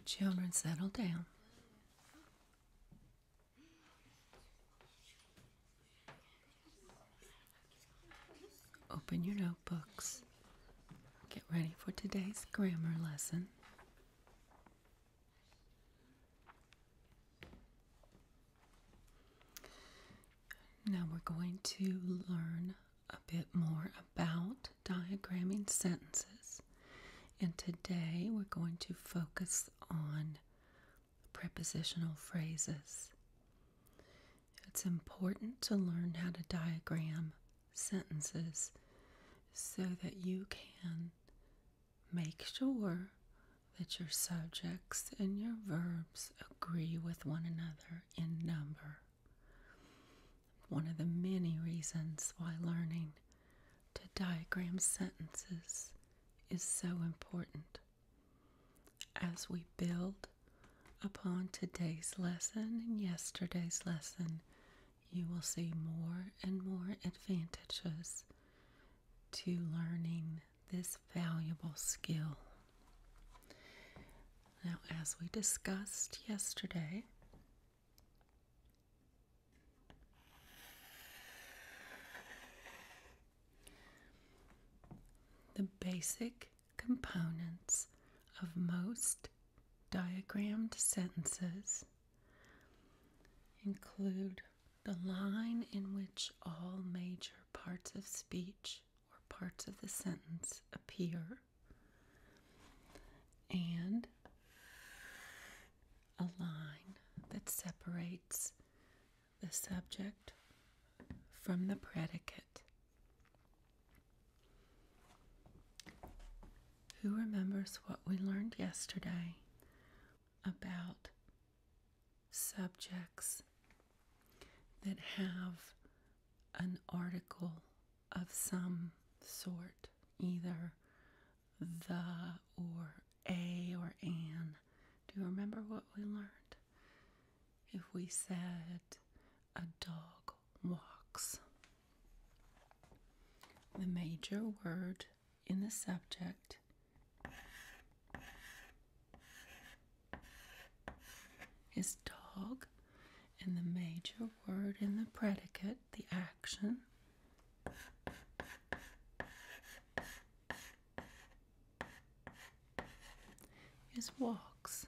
Your children settle down. Open your notebooks. Get ready for today's grammar lesson. Now we're going to learn a bit more about diagramming sentences. And today we're going to focus on prepositional phrases. It's important to learn how to diagram sentences so that you can Make sure that your subjects and your verbs agree with one another in number. One of the many reasons why learning to diagram sentences is so important. As we build upon today's lesson and yesterday's lesson, you will see more and more advantages to learning this valuable skill. Now, as we discussed yesterday, the basic components of most diagrammed sentences include the line in which all major parts of speech or parts of the sentence appear, and a line that separates the subject from the predicate. Who remembers what we learned yesterday about subjects that have an article of some sort, either the or a or an? Do you remember what we learned? If we said a dog walks, the major word in the subject is dog, and the major word in the predicate, the action, is walks.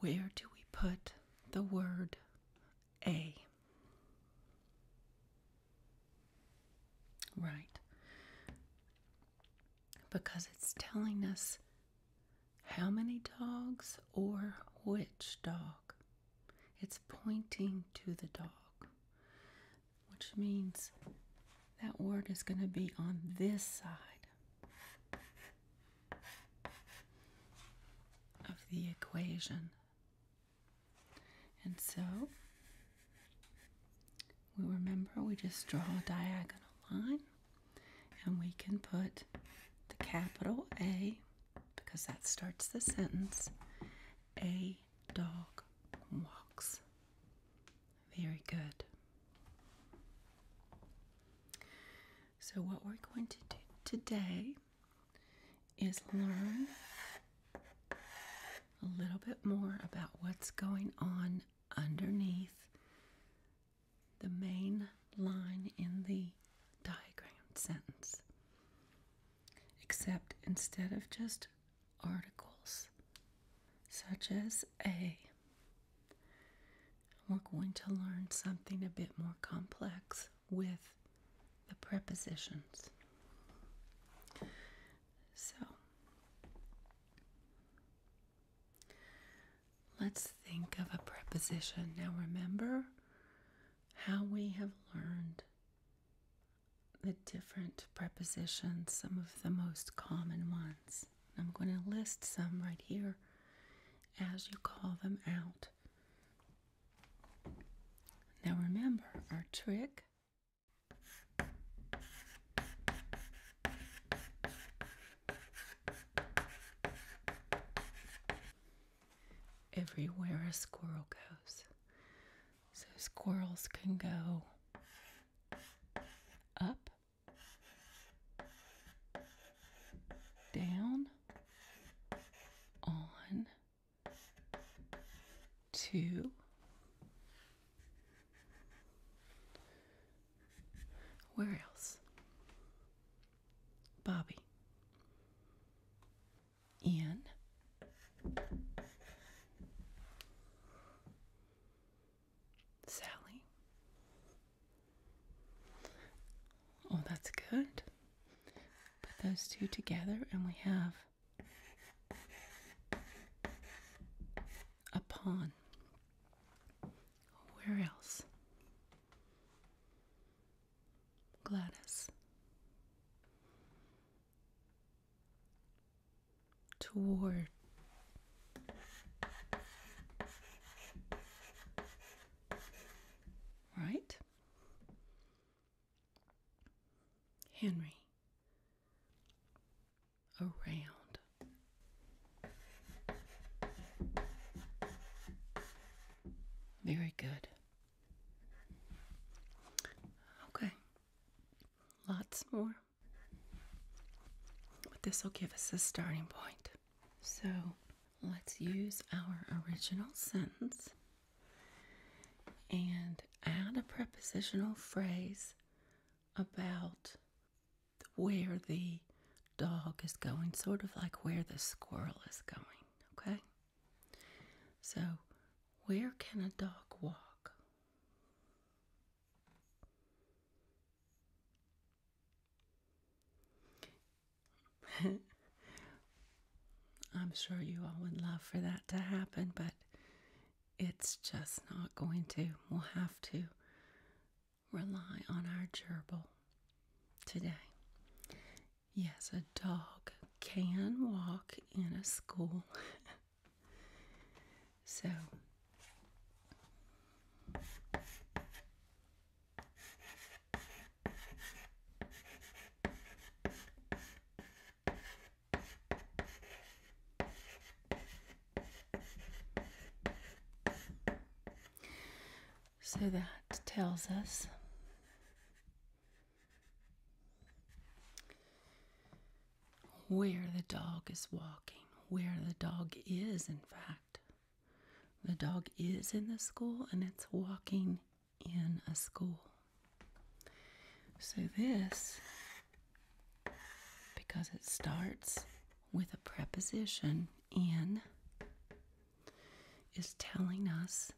Where do we put the word a. Right. Because it's telling us how many dogs or which dog. It's pointing to the dog, which means that word is going to be on this side of the equation. And so we remember we just draw a diagonal line and we can put the capital A because that starts the sentence a dog walks. Very good. So, what we're going to do today is learn a little bit more about what's going on underneath the main line in the diagrammed sentence. Except instead of just articles such as a, we're going to learn something a bit more complex with the prepositions. So let's think of a preposition. Now, remember how we have learned the different prepositions, some of the most common ones. I'm going to list some right here as you call them out. Now remember our trick everywhere a squirrel goes. So squirrels can go up, down, on to where else? Bobby Ian. Sally Oh, that's good. Put those two together, and we have a pawn. Where else? Gladys. Toward right? Henry around. Very good. Okay, lots more. But this will give us a starting point. So let's use our original sentence and add a prepositional phrase about where the dog is going, sort of like where the squirrel is going, okay? So, where can a dog walk? I'm sure you all would love for that to happen, but it's just not going to. We'll have to rely on our gerbil today. Yes, a dog can walk in a school. so, so that tells us where the dog is walking, where the dog is, in fact the dog is in the school and it's walking in a school. So, this, because it starts with a preposition in, is telling us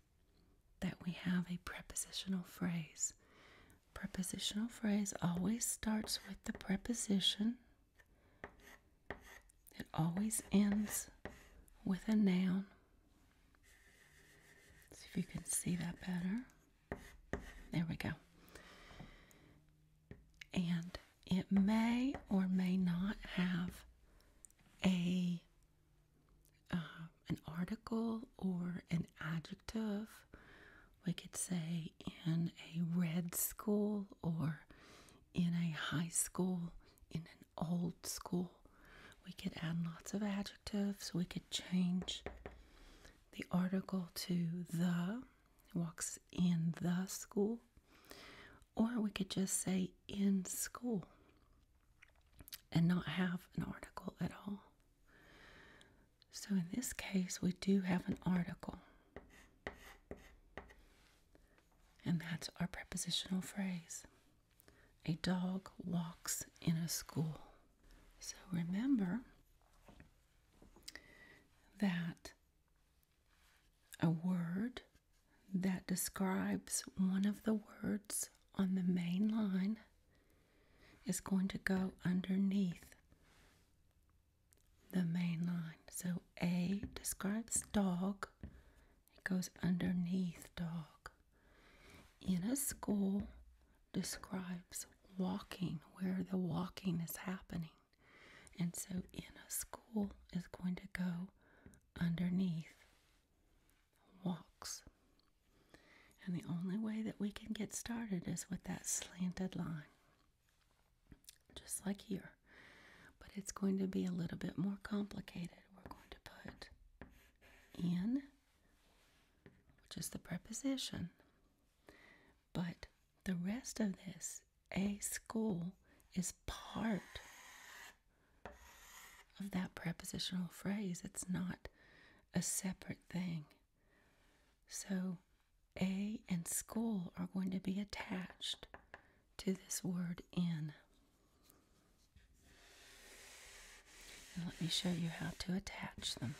that we have a prepositional phrase. Prepositional phrase always starts with the preposition it always ends with a noun. see if you can see that better. There we go. And it may or may not have a uh, an article or an adjective. We could say in a red school or in a high school, in an old school. We could add lots of adjectives. We could change the article to the, walks in the school. Or we could just say in school and not have an article at all. So in this case, we do have an article. And that's our prepositional phrase. A dog walks in a school. So remember that a word that describes one of the words on the main line is going to go underneath the main line. So A describes dog, it goes underneath dog. In a school describes walking, where the walking is happening. And so in a school is going to go underneath walks. And the only way that we can get started is with that slanted line just like here. But it's going to be a little bit more complicated. We're going to put in, which is the preposition. But the rest of this, a school, is part of that prepositional phrase. It's not a separate thing. So, a and school are going to be attached to this word in. let me show you how to attach them.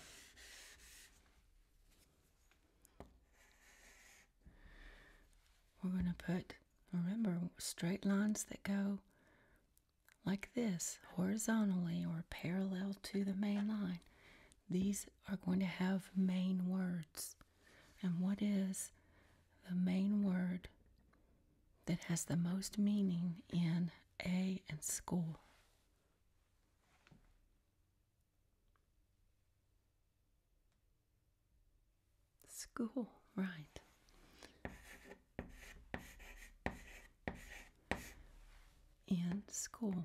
We're going to put, remember, straight lines that go like this, horizontally or parallel to the main line. These are going to have main words. And what is the main word that has the most meaning in A and school. School, right. And school.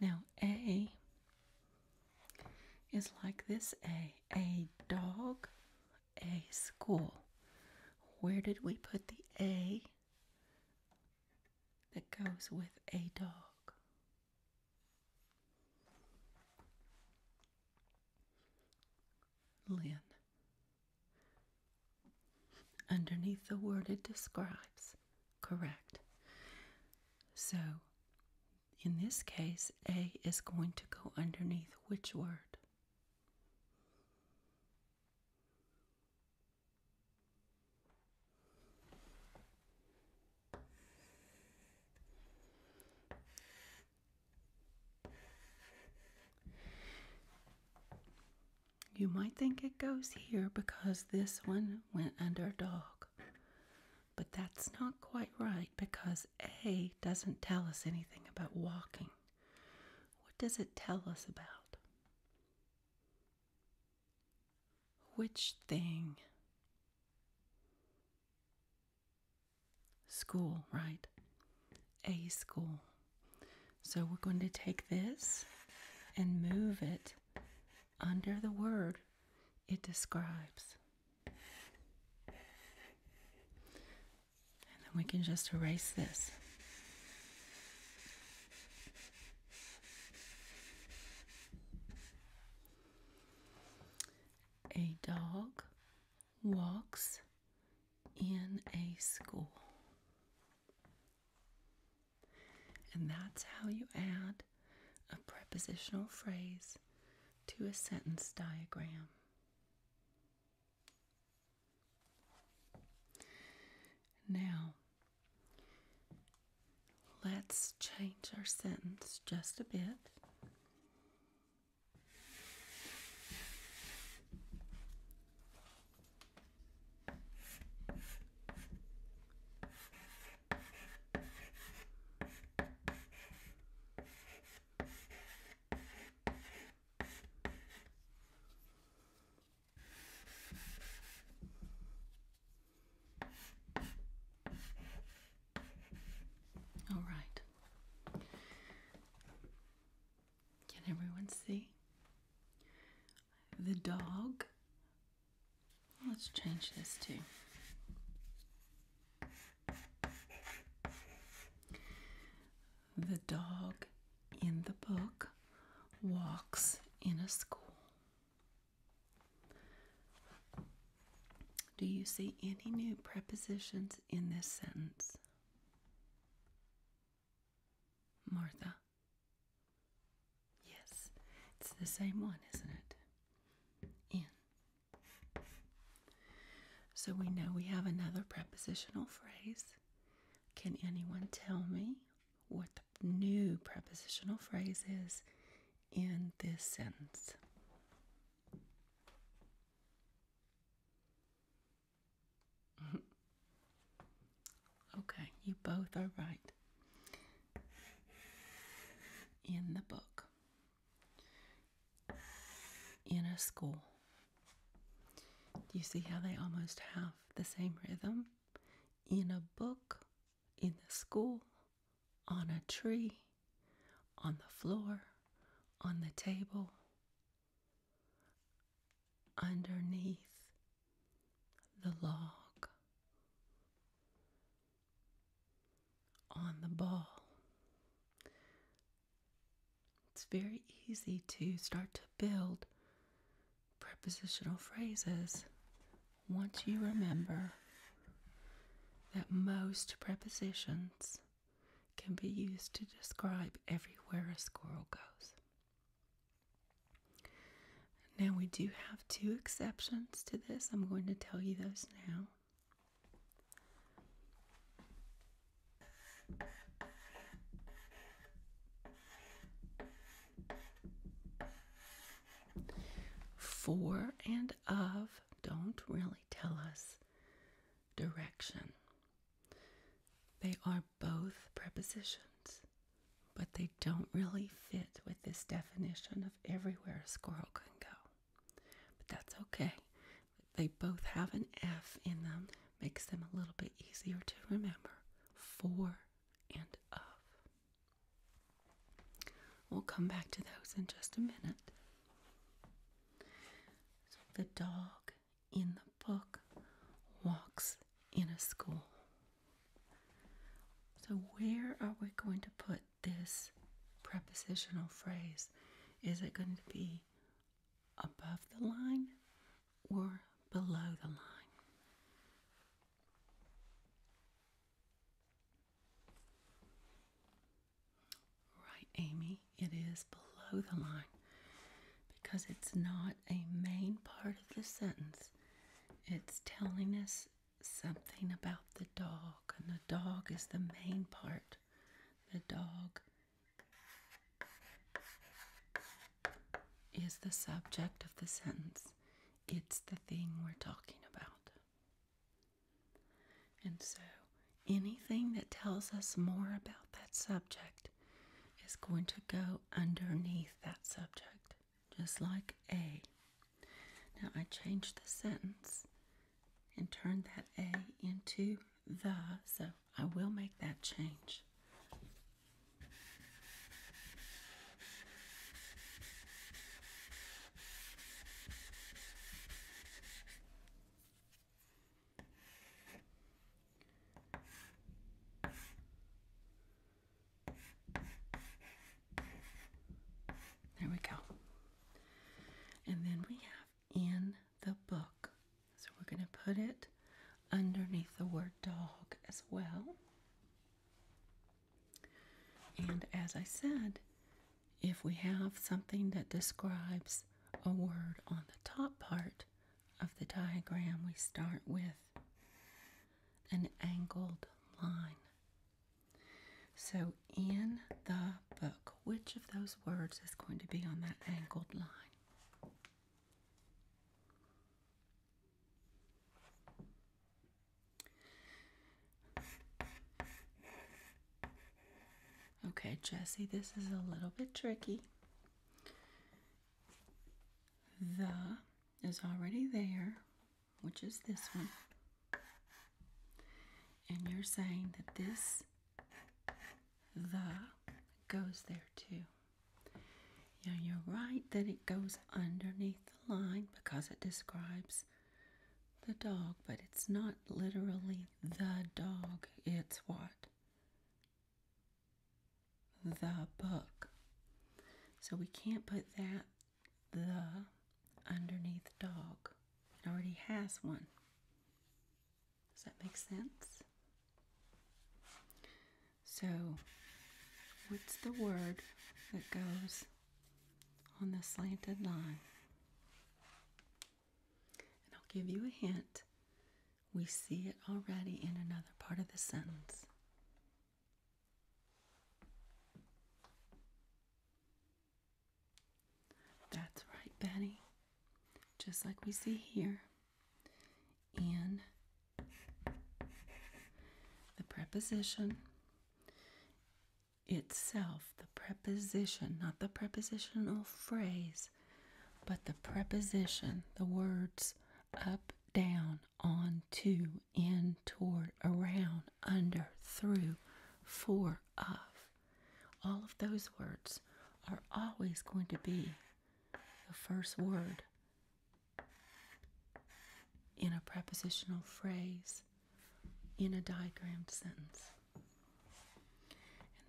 Now, A is like this A. A dog, a school. Where did we put the A that goes with a dog? Lynn. Underneath the word it describes. Correct. So in this case, A is going to go underneath which word? You might think it goes here because this one went under dog. But that's not quite right because A doesn't tell us anything about walking. What does it tell us about? Which thing? School, right? A school. So we're going to take this and move it under the word it describes. And then we can just erase this. A dog walks in a school. And that's how you add a prepositional phrase to a sentence diagram. Now, let's change our sentence just a bit. All right. Can everyone see? The dog Let's change this too. The dog in the book walks in a school. Do you see any new prepositions in this sentence? Martha? Yes, it's the same one, isn't it? in. So we know we have another prepositional phrase. Can anyone tell me what the new prepositional phrase is in this sentence? okay, you both are right in the book in a school. Do you see how they almost have the same rhythm? In a book, in the school, on a tree, on the floor, on the table, underneath the log on the ball. It's very easy to start to build prepositional phrases once you remember that most prepositions can be used to describe everywhere a squirrel goes. Now, we do have two exceptions to this. I'm going to tell you those now. For and of don't really tell us direction. They are both prepositions, but they don't really fit with this definition of everywhere a squirrel can go. But that's okay. They both have an F in them, makes them a little bit easier to remember. For and of. We'll come back to those in just a minute. So the dog in the book walks in a school. So, where are we going to put this prepositional phrase is it going to be above the line or below the line? Right, Amy, it is below the line because it's not a main part of the sentence. It's telling us something about the dog, and the dog is the main part. The dog is the subject of the sentence, it's the thing we're talking about. And so, anything that tells us more about that subject is going to go underneath that subject just like A. Now I changed the sentence and turned that A into the, so I will make that change. There we go. And then we have in the book. So we're going to put it underneath the word dog as well. And as I said, if we have something that describes a word on the top part of the diagram, we start with an angled line. So, in the book, which of those words is going to be on that angled line? Okay, Jesse, this is a little bit tricky. The is already there which is this one, and you're saying that this the goes there too. Now you're right that it goes underneath the line because it describes the dog, but it's not literally the dog. It's what? The book. So we can't put that the underneath dog. It already has one. Does that make sense? So, what's the word that goes on the slanted line? And I'll give you a hint. We see it already in another part of the sentence. That's right, Betty. Just like we see here in the preposition itself, the preposition, not the prepositional phrase, but the preposition, the words up, down, on, to, in, toward, around, under, through, for, of. All of those words are always going to be the first word in a prepositional phrase in a diagrammed sentence.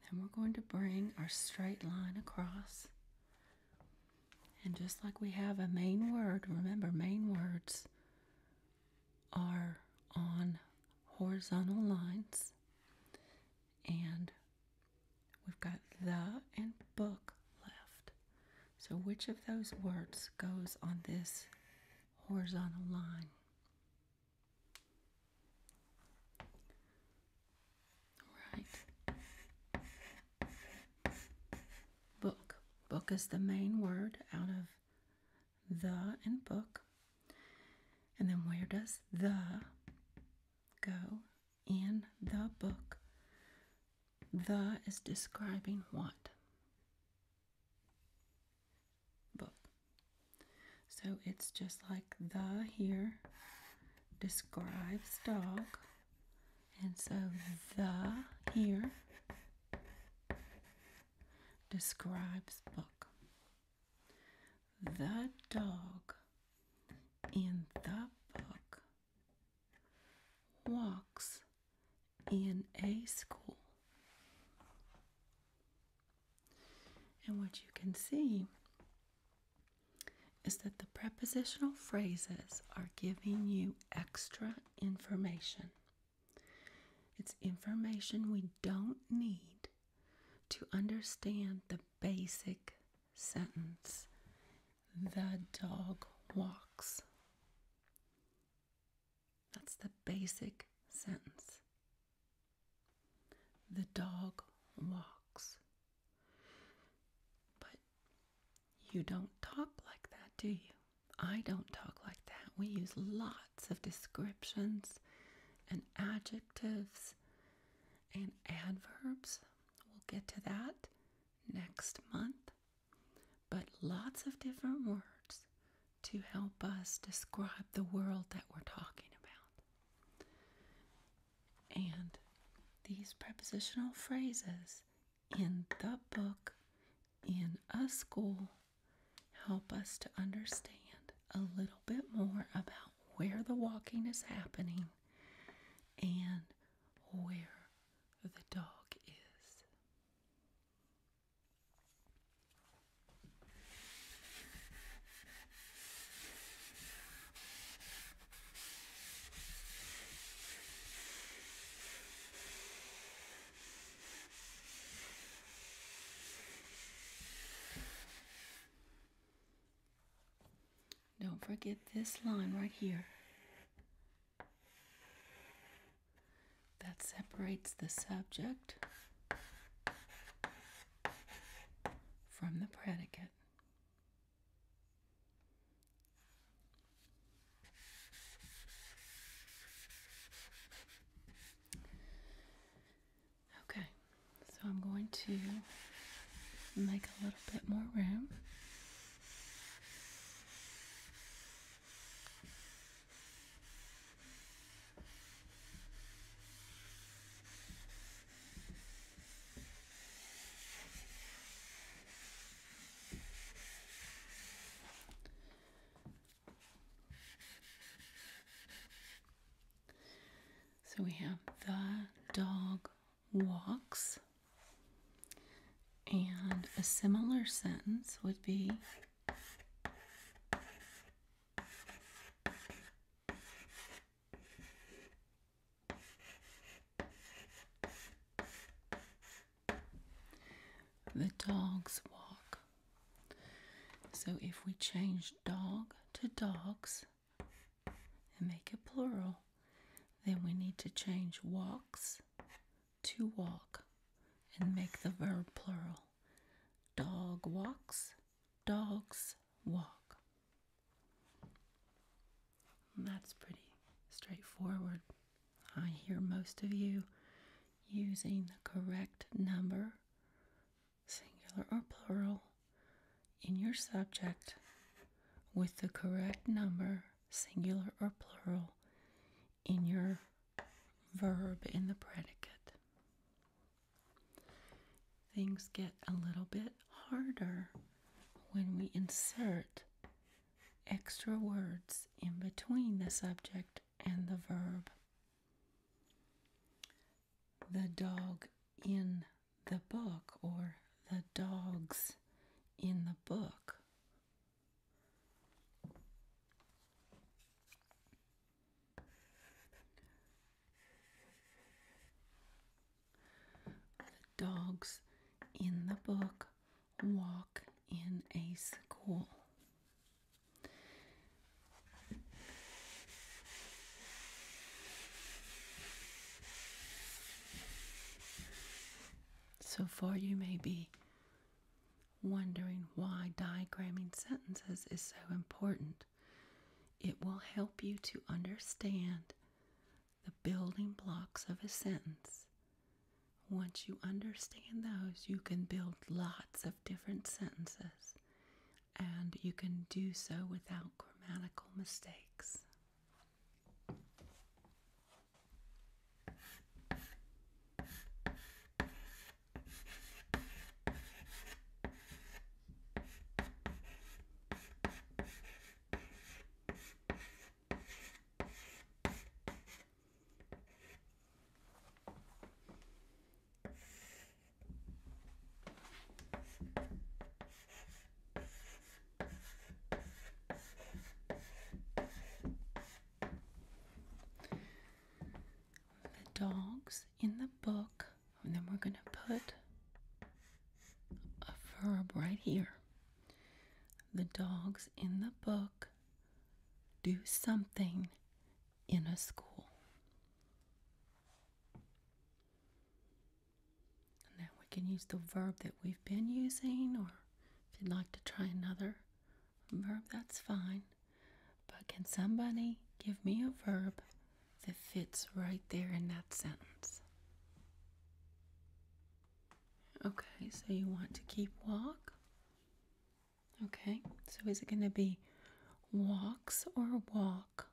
And then we're going to bring our straight line across and just like we have a main word, remember, main words are on horizontal lines. And we've got the and book left. So, which of those words goes on this horizontal line? Right book. Book is the main word out of the and book. And then where does the go in the book? The is describing what? Book. So it's just like the here describes dog. And so the here describes book. The dog in the book walks in a school. And what you can see is that the prepositional phrases are giving you extra information. It's information we don't need to understand the basic sentence the dog walks. That's the basic sentence. The dog walks. But you don't talk like that, do you? I don't talk like that. We use lots of descriptions and adjectives and adverbs. We'll get to that next month. But lots of different words to help us describe the world that we're talking about. And these prepositional phrases in the book, in a school, help us to understand a little bit more about where the walking is happening and where the dog is. Don't forget this line right here that separates the subject from the predicate. Okay, so I'm going to make a little bit more room. So we have the dog walks. And a similar sentence would be the dogs walk. So if we change dog to dogs and make it plural, then we need to change walks to walk and make the verb plural. Dog walks, dogs walk. That's pretty straightforward. I hear most of you using the correct number, singular or plural, in your subject with the correct number, singular or plural, in your verb in the predicate. Things get a little bit harder when we insert extra words in between the subject and the verb. The dog in the book or the dogs in the book. The dogs in the book walk in a school. So far, you may be wondering why diagramming sentences is so important. It will help you to understand the building blocks of a sentence. Once you understand those, you can build lots of different sentences and you can do so without grammatical mistakes. The dogs in the book, and then we're going to put a verb right here. The dogs in the book do something in a school. And now we can use the verb that we've been using, or if you'd like to try another verb, that's fine. But can somebody give me a verb that fits right there in that sentence? Okay, so you want to keep walk? Okay, so is it going to be walks or walk?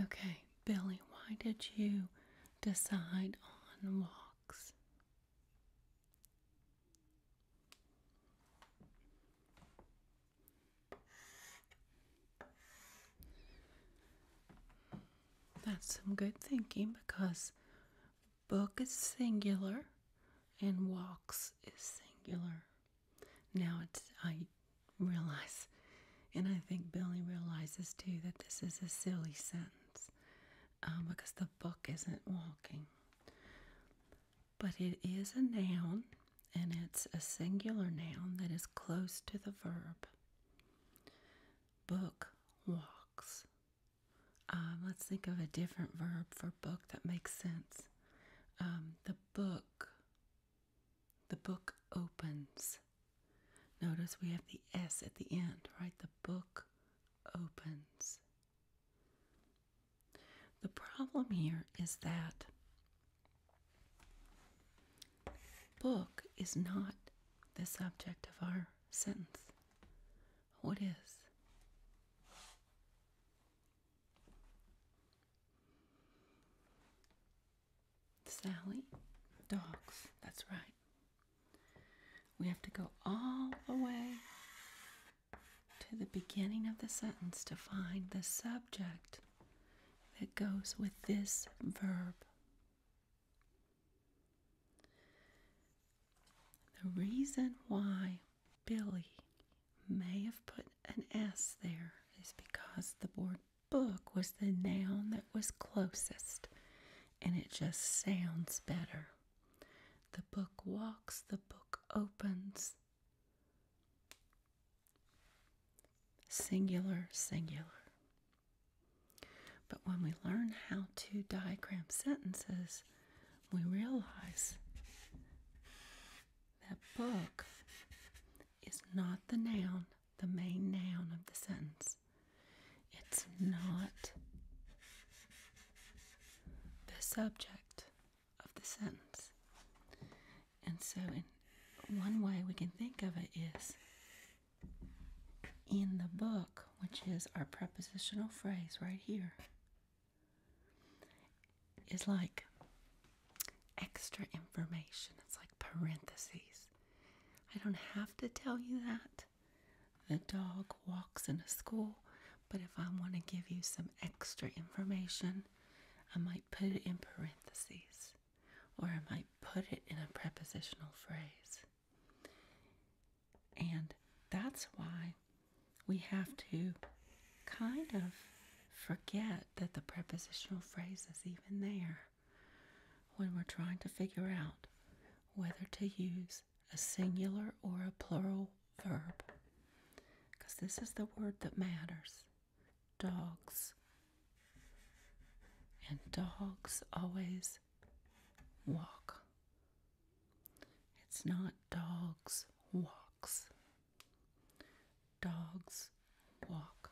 Okay, Billy, why did you decide on walk? That's some good thinking because book is singular and walks is singular. Now it's I realize and I think Billy realizes too that this is a silly sentence. Um, because the book isn't walking. But it is a noun and it's a singular noun that is close to the verb. Book walks. Um, let's think of a different verb for book that makes sense. Um, the book, the book opens. Notice we have the S at the end, right? The book opens. The problem here is that book is not the subject of our sentence. What is? Sally, dogs, that's right. We have to go all the way to the beginning of the sentence to find the subject that goes with this verb. The reason why Billy may have put an S there is because the word book was the noun that was closest and it just sounds better. The book walks, the book opens. Singular, singular. But when we learn how to diagram sentences, we realize that book is not the noun the main noun of the sentence. It's not the subject of the sentence. And so, in one way we can think of it is in the book, which is our prepositional phrase right here, is like extra information. It's like parentheses. I don't have to tell you that. The dog walks in a school, but if I want to give you some extra information, I might put it in parentheses or I might put it in a prepositional phrase. And that's why we have to kind of forget that the prepositional phrase is even there when we're trying to figure out whether to use a singular or a plural verb. Because this is the word that matters dogs. And dogs always walk. It's not dogs walks. Dogs walk.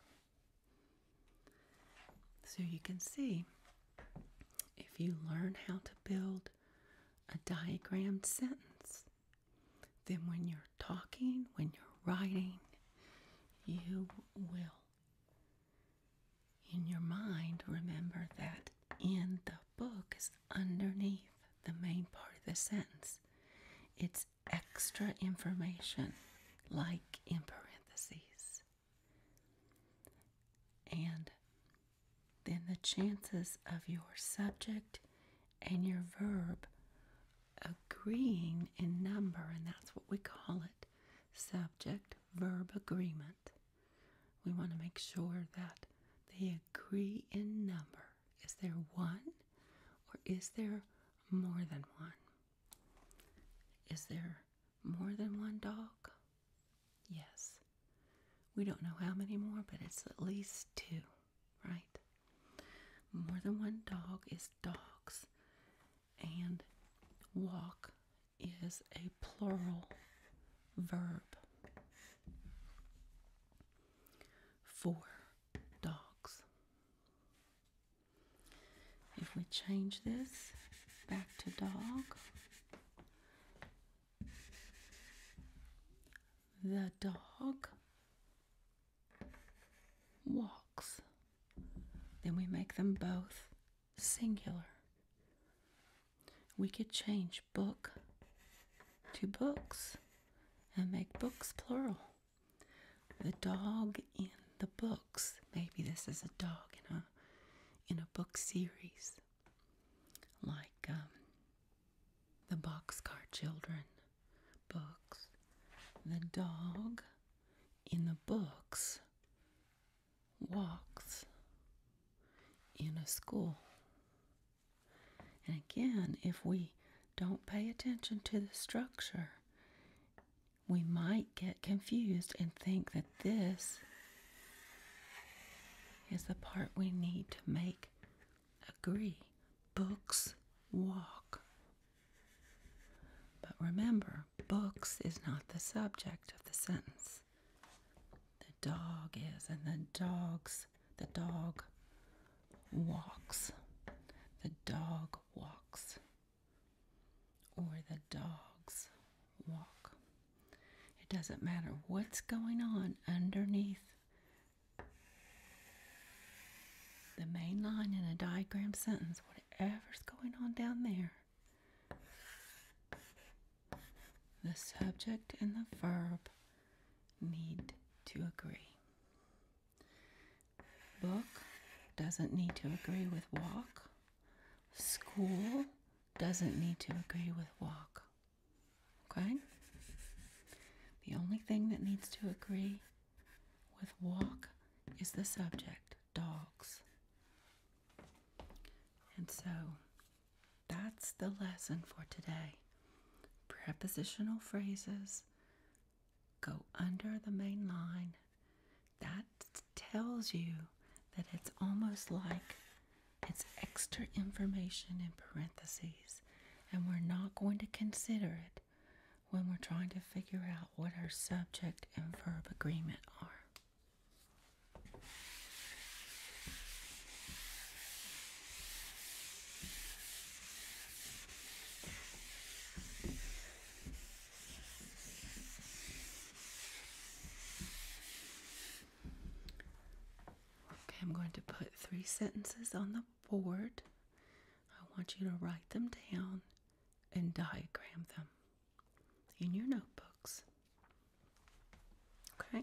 So you can see if you learn how to build a diagrammed sentence, then when you're talking, when you're writing, you will in your mind remember that in the book is underneath the main part of the sentence. It's extra information, like in parentheses. And then the chances of your subject and your verb agreeing in number, and that's what we call it subject verb agreement. We want to make sure that they agree in number. Is there one or is there more than one? Is there more than one dog? Yes. We don't know how many more, but it's at least two, right? More than one dog is dogs, and walk is a plural verb. Four dogs. If we change this back to dog, the dog walks. Then we make them both singular. We could change book to books and make books plural the dog in the books. Maybe this is a dog in a in a book series, like um, the Boxcar Children books. The dog in the books walks in a school. And again, if we don't pay attention to the structure, we might get confused and think that this is the part we need to make agree. Books walk. But remember, books is not the subject of the sentence. The dog is, and the dogs, the dog walks. The dog walks or the dog's walk. It doesn't matter what's going on underneath the main line in a diagram sentence, whatever's going on down there. The subject and the verb need to agree. Book doesn't need to agree with walk. School doesn't need to agree with walk. Okay? The only thing that needs to agree with walk is the subject, dogs. And so that's the lesson for today. Prepositional phrases go under the main line. That tells you that it's almost like it's extra information in parentheses, and we're not going to consider it when we're trying to figure out what our subject and verb agreement are. Okay, I'm going to put three sentences on the board. I want you to write them down and diagram them in your notebooks. Okay?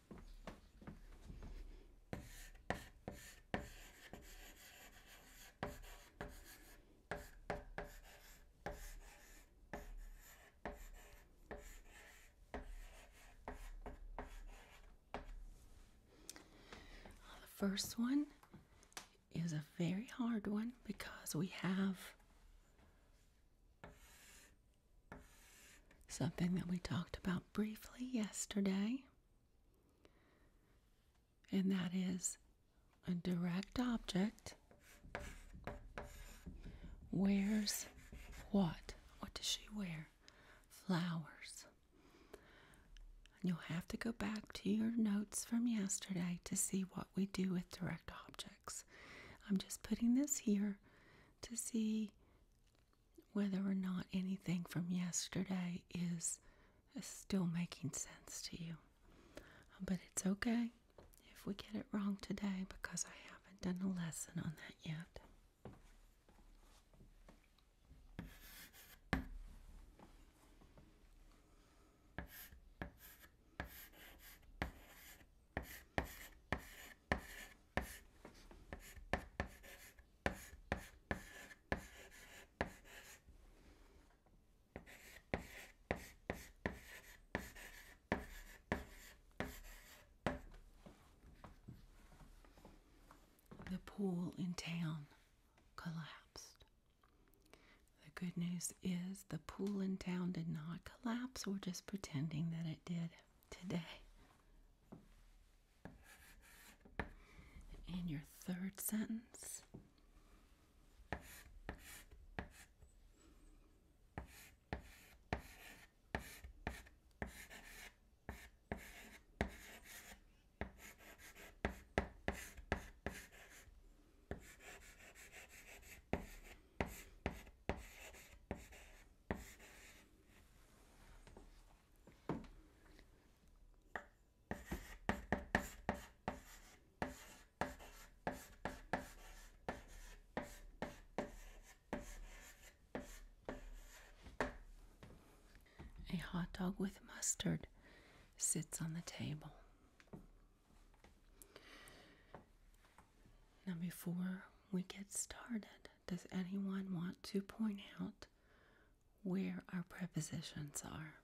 The first one is a very hard one because we have Something that we talked about briefly yesterday, and that is a direct object wears what? What does she wear? Flowers. you'll have to go back to your notes from yesterday to see what we do with direct objects. I'm just putting this here to see whether or not anything from yesterday is still making sense to you. But it's okay if we get it wrong today because I haven't done a lesson on that yet. The pool in town collapsed. The good news is the pool in town did not collapse. We're just pretending that it did today. In your third sentence, a hot dog with mustard sits on the table. Number four we get started, does anyone want to point out where our prepositions are?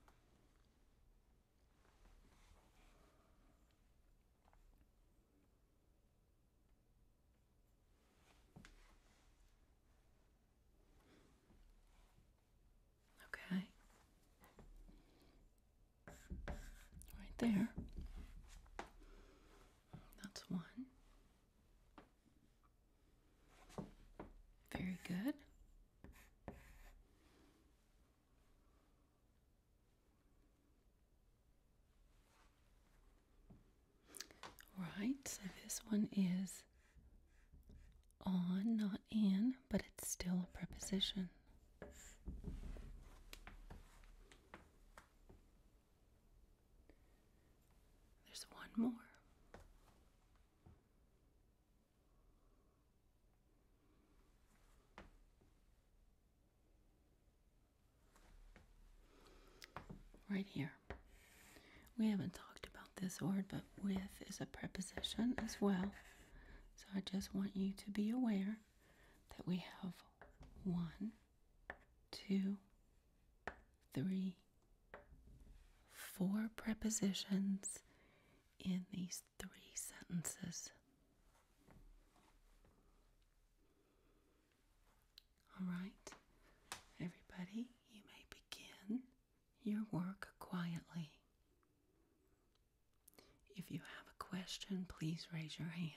Okay right there. That's one. Very good. Right, so this one is on, not in, but it's still a preposition. There's one more. Right here. We haven't talked about this word, but with is a preposition as well. So I just want you to be aware that we have one, two, three, four prepositions in these three sentences. All right, everybody, you may begin your work quietly. If you have a question, please raise your hand.